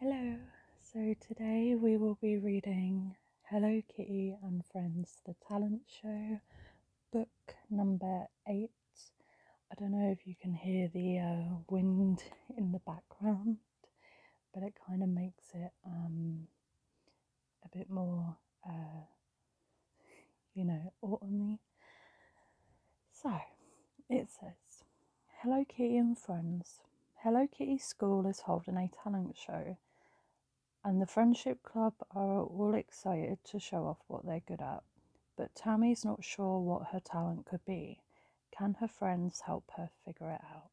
Hello, so today we will be reading Hello Kitty and Friends The Talent Show, book number eight. I don't know if you can hear the uh, wind in the background, but it kind of makes it um, a bit more, uh, you know, autumny so it says Hello Kitty and Friends. Hello Kitty School is holding a talent show, and the Friendship Club are all excited to show off what they're good at. But Tammy's not sure what her talent could be. Can her friends help her figure it out?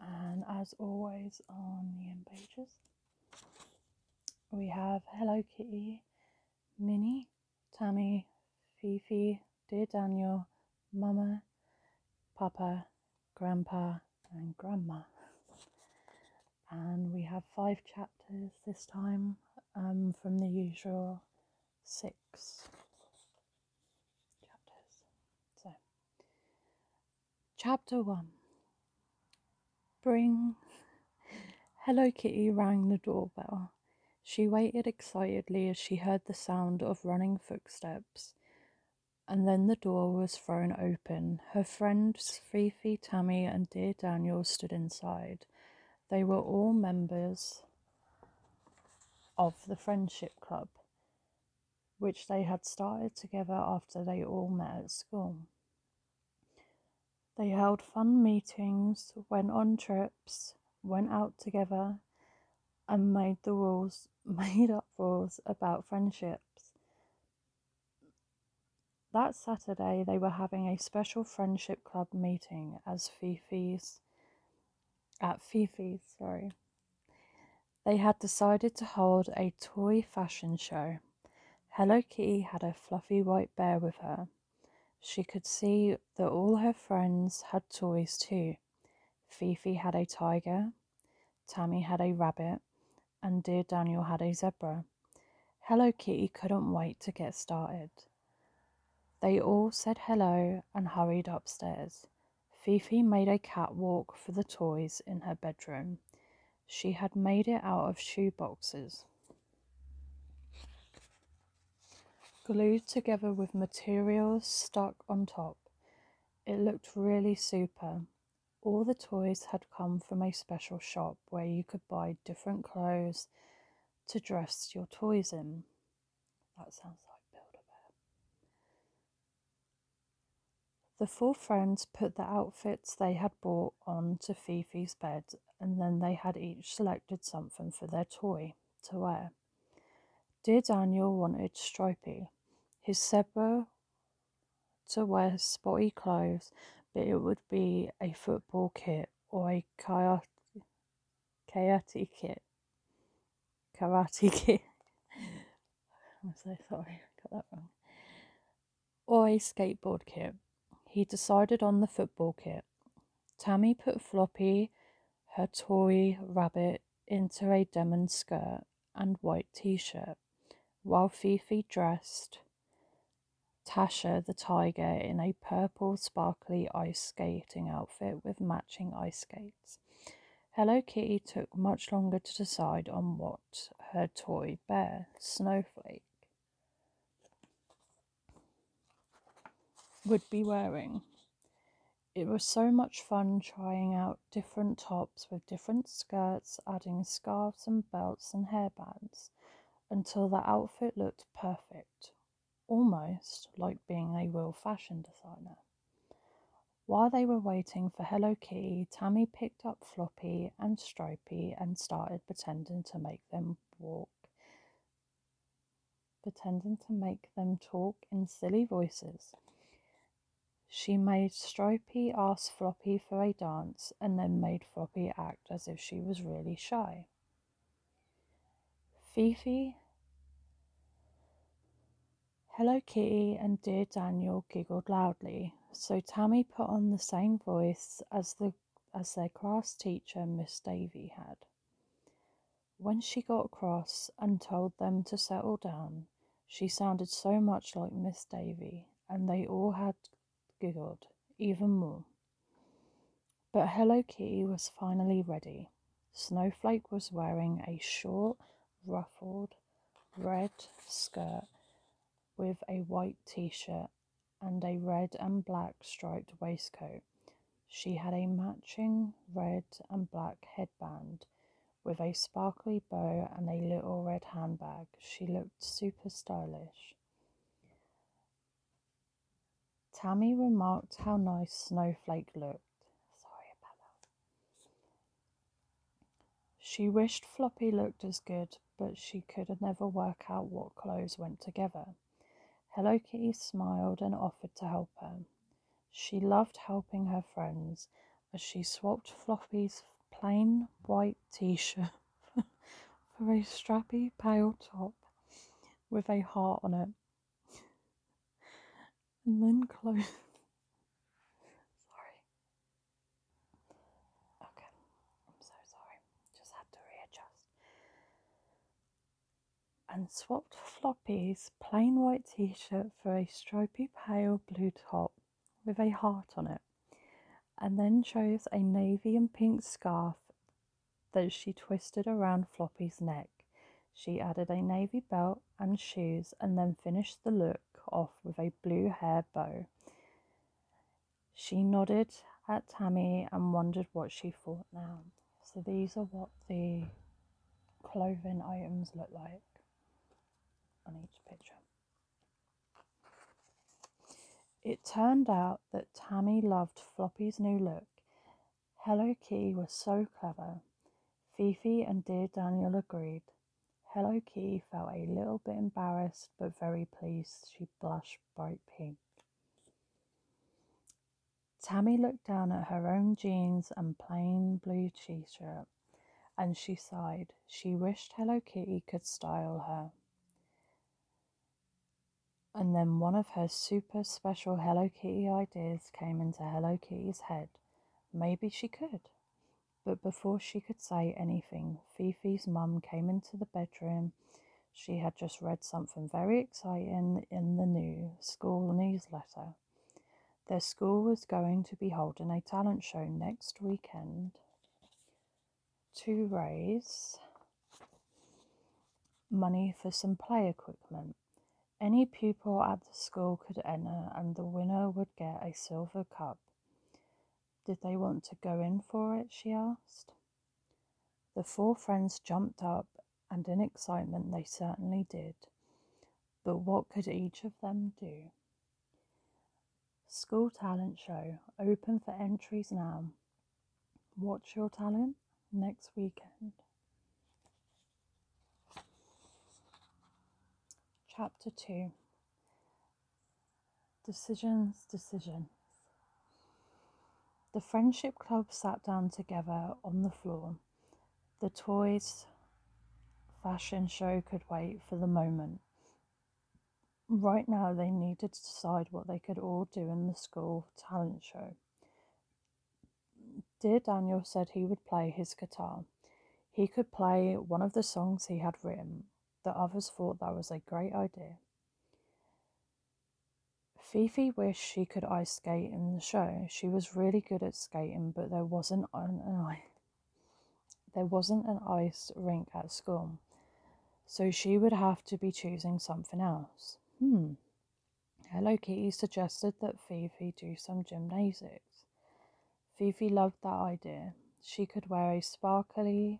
And as always, on the end pages, we have Hello Kitty Minnie, Tammy, Fifi, Dear Daniel, Mama, Papa, Grandpa, and Grandma. And we have five chapters this time um, from the usual six chapters. So, chapter one Bring. Hello Kitty rang the doorbell. She waited excitedly as she heard the sound of running footsteps, and then the door was thrown open. Her friends Fifi, Tammy, and dear Daniel stood inside. They were all members of the Friendship Club, which they had started together after they all met at school. They held fun meetings, went on trips, went out together, and made the rules, made up rules about friendships. That Saturday, they were having a special friendship club meeting as Fifi's, at Fifi's, sorry. They had decided to hold a toy fashion show. Hello Kitty had a fluffy white bear with her, she could see that all her friends had toys too. Fifi had a tiger, Tammy had a rabbit, and dear Daniel had a zebra. Hello Kitty couldn't wait to get started. They all said hello and hurried upstairs. Fifi made a catwalk for the toys in her bedroom. She had made it out of shoe boxes. Glued together with materials stuck on top, it looked really super. All the toys had come from a special shop where you could buy different clothes to dress your toys in. That sounds like Build a Bear. The four friends put the outfits they had bought all onto Fifi's bed, and then they had each selected something for their toy to wear. Dear Daniel wanted stripy, his Sebo to wear spotty clothes, but it would be a football kit or a karate, karate kit. Karate kit. I'm so sorry, I got that wrong or a skateboard kit. He decided on the football kit. Tammy put Floppy, her toy rabbit, into a denim skirt and white t shirt, while Fifi dressed Tasha the tiger in a purple sparkly ice skating outfit with matching ice skates. Hello Kitty took much longer to decide on what her toy bear, Snowflake, would be wearing. It was so much fun trying out different tops with different skirts, adding scarves and belts and hairbands until the outfit looked perfect, almost like being a real fashion designer. While they were waiting for Hello Key, Tammy picked up Floppy and Stroke and started pretending to make them walk, pretending to make them talk in silly voices. She made Stripey ask Floppy for a dance and then made Floppy act as if she was really shy. Fifi, Hello Kitty, and dear Daniel giggled loudly, so Tammy put on the same voice as the as their class teacher, Miss Davy, had. When she got cross and told them to settle down, she sounded so much like Miss Davy, and they all had giggled even more. But Hello Kitty was finally ready. Snowflake was wearing a short, ruffled, red skirt with a white t shirt and a red and black striped waistcoat. She had a matching red and black headband with a sparkly bow and a little red handbag. She looked super stylish. Tammy remarked how nice Snowflake looked. Sorry about that. She wished Floppy looked as good, but she could never work out what clothes went together. Hello Kitty smiled and offered to help her. She loved helping her friends as she swapped Floppy's plain white t shirt for a strappy pale top with a heart on it. And then clothes. Sorry. Okay, I'm so sorry. Just had to readjust. And swapped Floppy's plain white t shirt for a stripy pale blue top with a heart on it, and then chose a navy and pink scarf that she twisted around Floppy's neck. She added a navy belt and shoes and then finished the look off with a blue hair bow. She nodded at Tammy and wondered what she thought now. So these are what the clothing items look like on each picture. It turned out that Tammy loved Floppy's new look. Hello Key was so clever. Fifi and dear Daniel agreed. Hello Key felt a little bit embarrassed but very pleased she blush bright pink. Tammy looked down at her own jeans and plain blue t shirt and she sighed. She wished Hello Kitty could style her. And then one of her super special Hello Kitty ideas came into Hello Kitty's head. Maybe she could. But before she could say anything, Fifi's mum came into the bedroom. She had just read something very exciting in the new school newsletter. Their school was going to be holding a talent show next weekend to raise money for some play equipment. Any pupil at the school could enter, and the winner would get a silver cup. Did they want to go in for it? she asked. The four friends jumped up, and in excitement they certainly did. But what could each of them do? School Talent Show, open for entries now. Watch your talent next weekend. Chapter 2 Decisions, decisions. The friendship club sat down together on the floor. The toys fashion show could wait for the moment. Right now, they needed to decide what they could all do in the school talent show. Dear Daniel said he would play his guitar. He could play one of the songs he had written, the others thought that was a great idea. Fifi wished she could ice skate in the show. She was really good at skating, but there wasn't an, an there wasn't an ice rink at school, so she would have to be choosing something else. Hmm. Hello Kitty suggested that Fifi do some gymnastics. Fifi loved that idea. She could wear a sparkly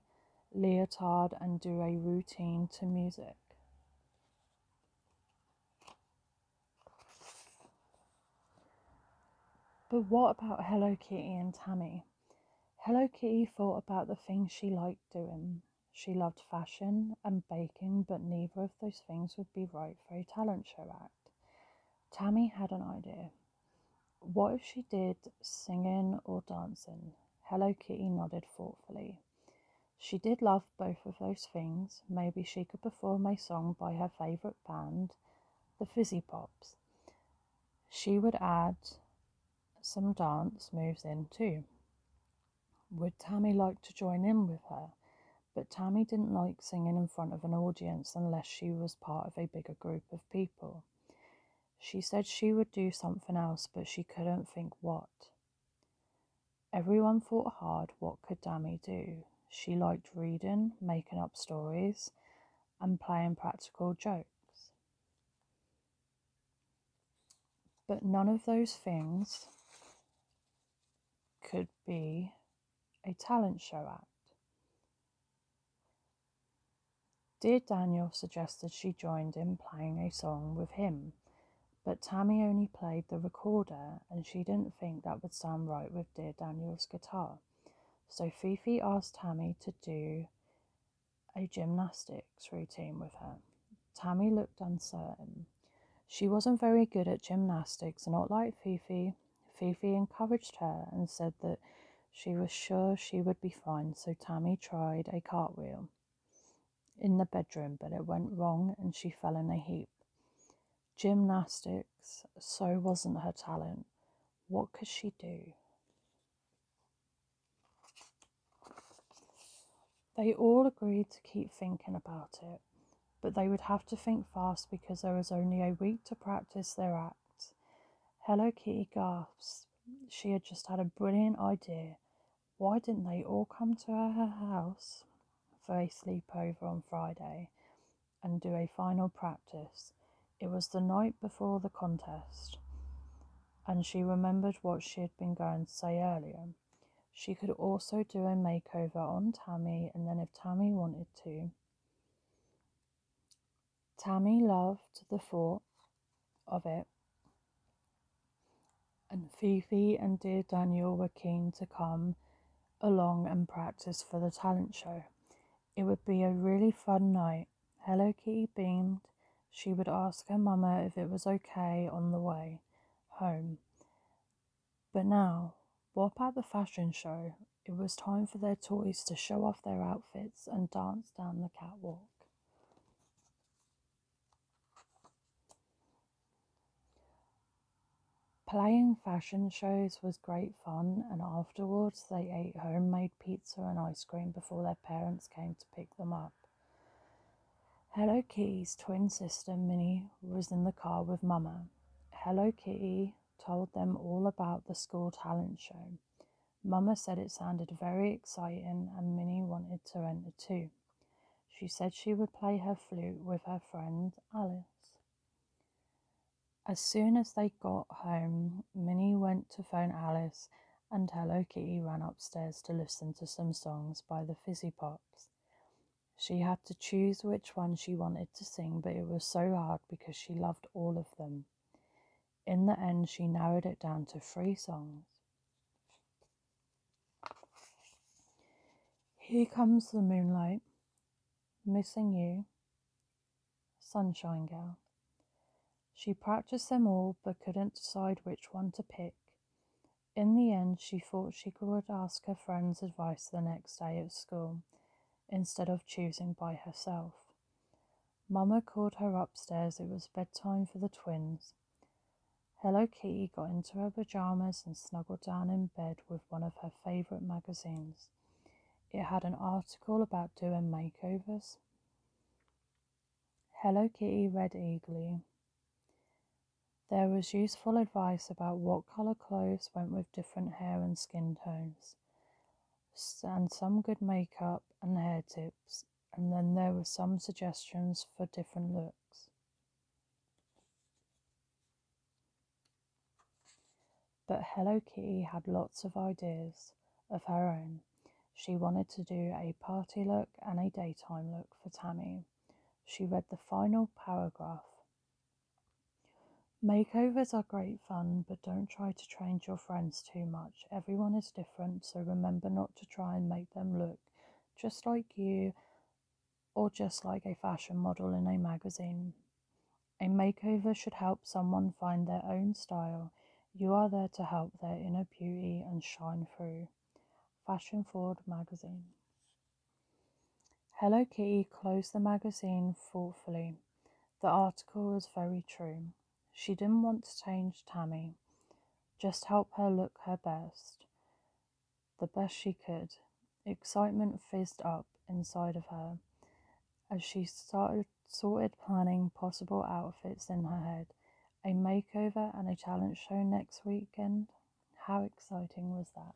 leotard and do a routine to music. But what about Hello Kitty and Tammy? Hello Kitty thought about the things she liked doing. She loved fashion and baking, but neither of those things would be right for a talent show act. Tammy had an idea. What if she did singing or dancing? Hello Kitty nodded thoughtfully. She did love both of those things. Maybe she could perform a song by her favourite band, the Fizzy Pops. She would add some dance moves in too. Would Tammy like to join in with her? But Tammy didn't like singing in front of an audience unless she was part of a bigger group of people. She said she would do something else, but she couldn't think what. Everyone thought hard what could Dammy do. She liked reading, making up stories, and playing practical jokes. But none of those things could be a talent show act. Dear Daniel suggested she joined in playing a song with him, but Tammy only played the recorder and she didn't think that would sound right with Dear Daniel's guitar. So Fifi asked Tammy to do a gymnastics routine with her. Tammy looked uncertain. She wasn't very good at gymnastics, not like Fifi. Fifi encouraged her and said that she was sure she would be fine, so Tammy tried a cartwheel in the bedroom, but it went wrong and she fell in a heap. Gymnastics, so wasn't her talent. What could she do? They all agreed to keep thinking about it, but they would have to think fast because there was only a week to practice their act. Hello Kitty gasped. She had just had a brilliant idea. Why didn't they all come to her house for a sleepover on Friday and do a final practice? It was the night before the contest, and she remembered what she had been going to say earlier. She could also do a makeover on Tammy, and then if Tammy wanted to, Tammy loved the thought of it, and Fifi and dear Daniel were keen to come along and practice for the talent show. It would be a really fun night. Hello Kitty beamed. She would ask her mama if it was okay on the way home. But now, what about the fashion show it was time for their toys to show off their outfits and dance down the catwalk. Playing fashion shows was great fun, and afterwards they ate homemade pizza and ice cream before their parents came to pick them up. Hello Kitty's twin sister Minnie was in the car with Mamma. Hello Kitty told them all about the school talent show. Mamma said it sounded very exciting and Minnie wanted to enter too. She said she would play her flute with her friend Alice. As soon as they got home, Minnie went to phone Alice and Hello Kitty ran upstairs to listen to some songs by the Fizzy Pops. She had to choose which one she wanted to sing, but it was so hard because she loved all of them. In the end, she narrowed it down to three songs. Here Comes the Moonlight, Missing You, Sunshine Girl. She practiced them all but couldn't decide which one to pick. In the end, she thought she could ask her friend's advice the next day at school instead of choosing by herself. Mamma called her upstairs. It was bedtime for the twins. Hello Kitty got into her pajamas and snuggled down in bed with one of her favourite magazines. It had an article about doing makeovers. Hello Kitty read eagerly. There was useful advice about what colour clothes went with different hair and skin tones and some good makeup and hair tips, and then there were some suggestions for different looks. But Hello Kitty had lots of ideas of her own. She wanted to do a party look and a daytime look for Tammy. She read the final paragraph Makeovers are great fun, but don't try to change your friends too much. Everyone is different, so remember not to try and make them look just like you or just like a fashion model in a magazine. A makeover should help someone find their own style. You are there to help their inner beauty and shine through. Fashion Forward magazine. Hello Kitty closed the magazine thoughtfully. The article was very true. She didn't want to change Tammy, just help her look her best, the best she could. Excitement fizzed up inside of her as she started sorting, planning possible outfits in her head. A makeover and a talent show next weekend. How exciting was that?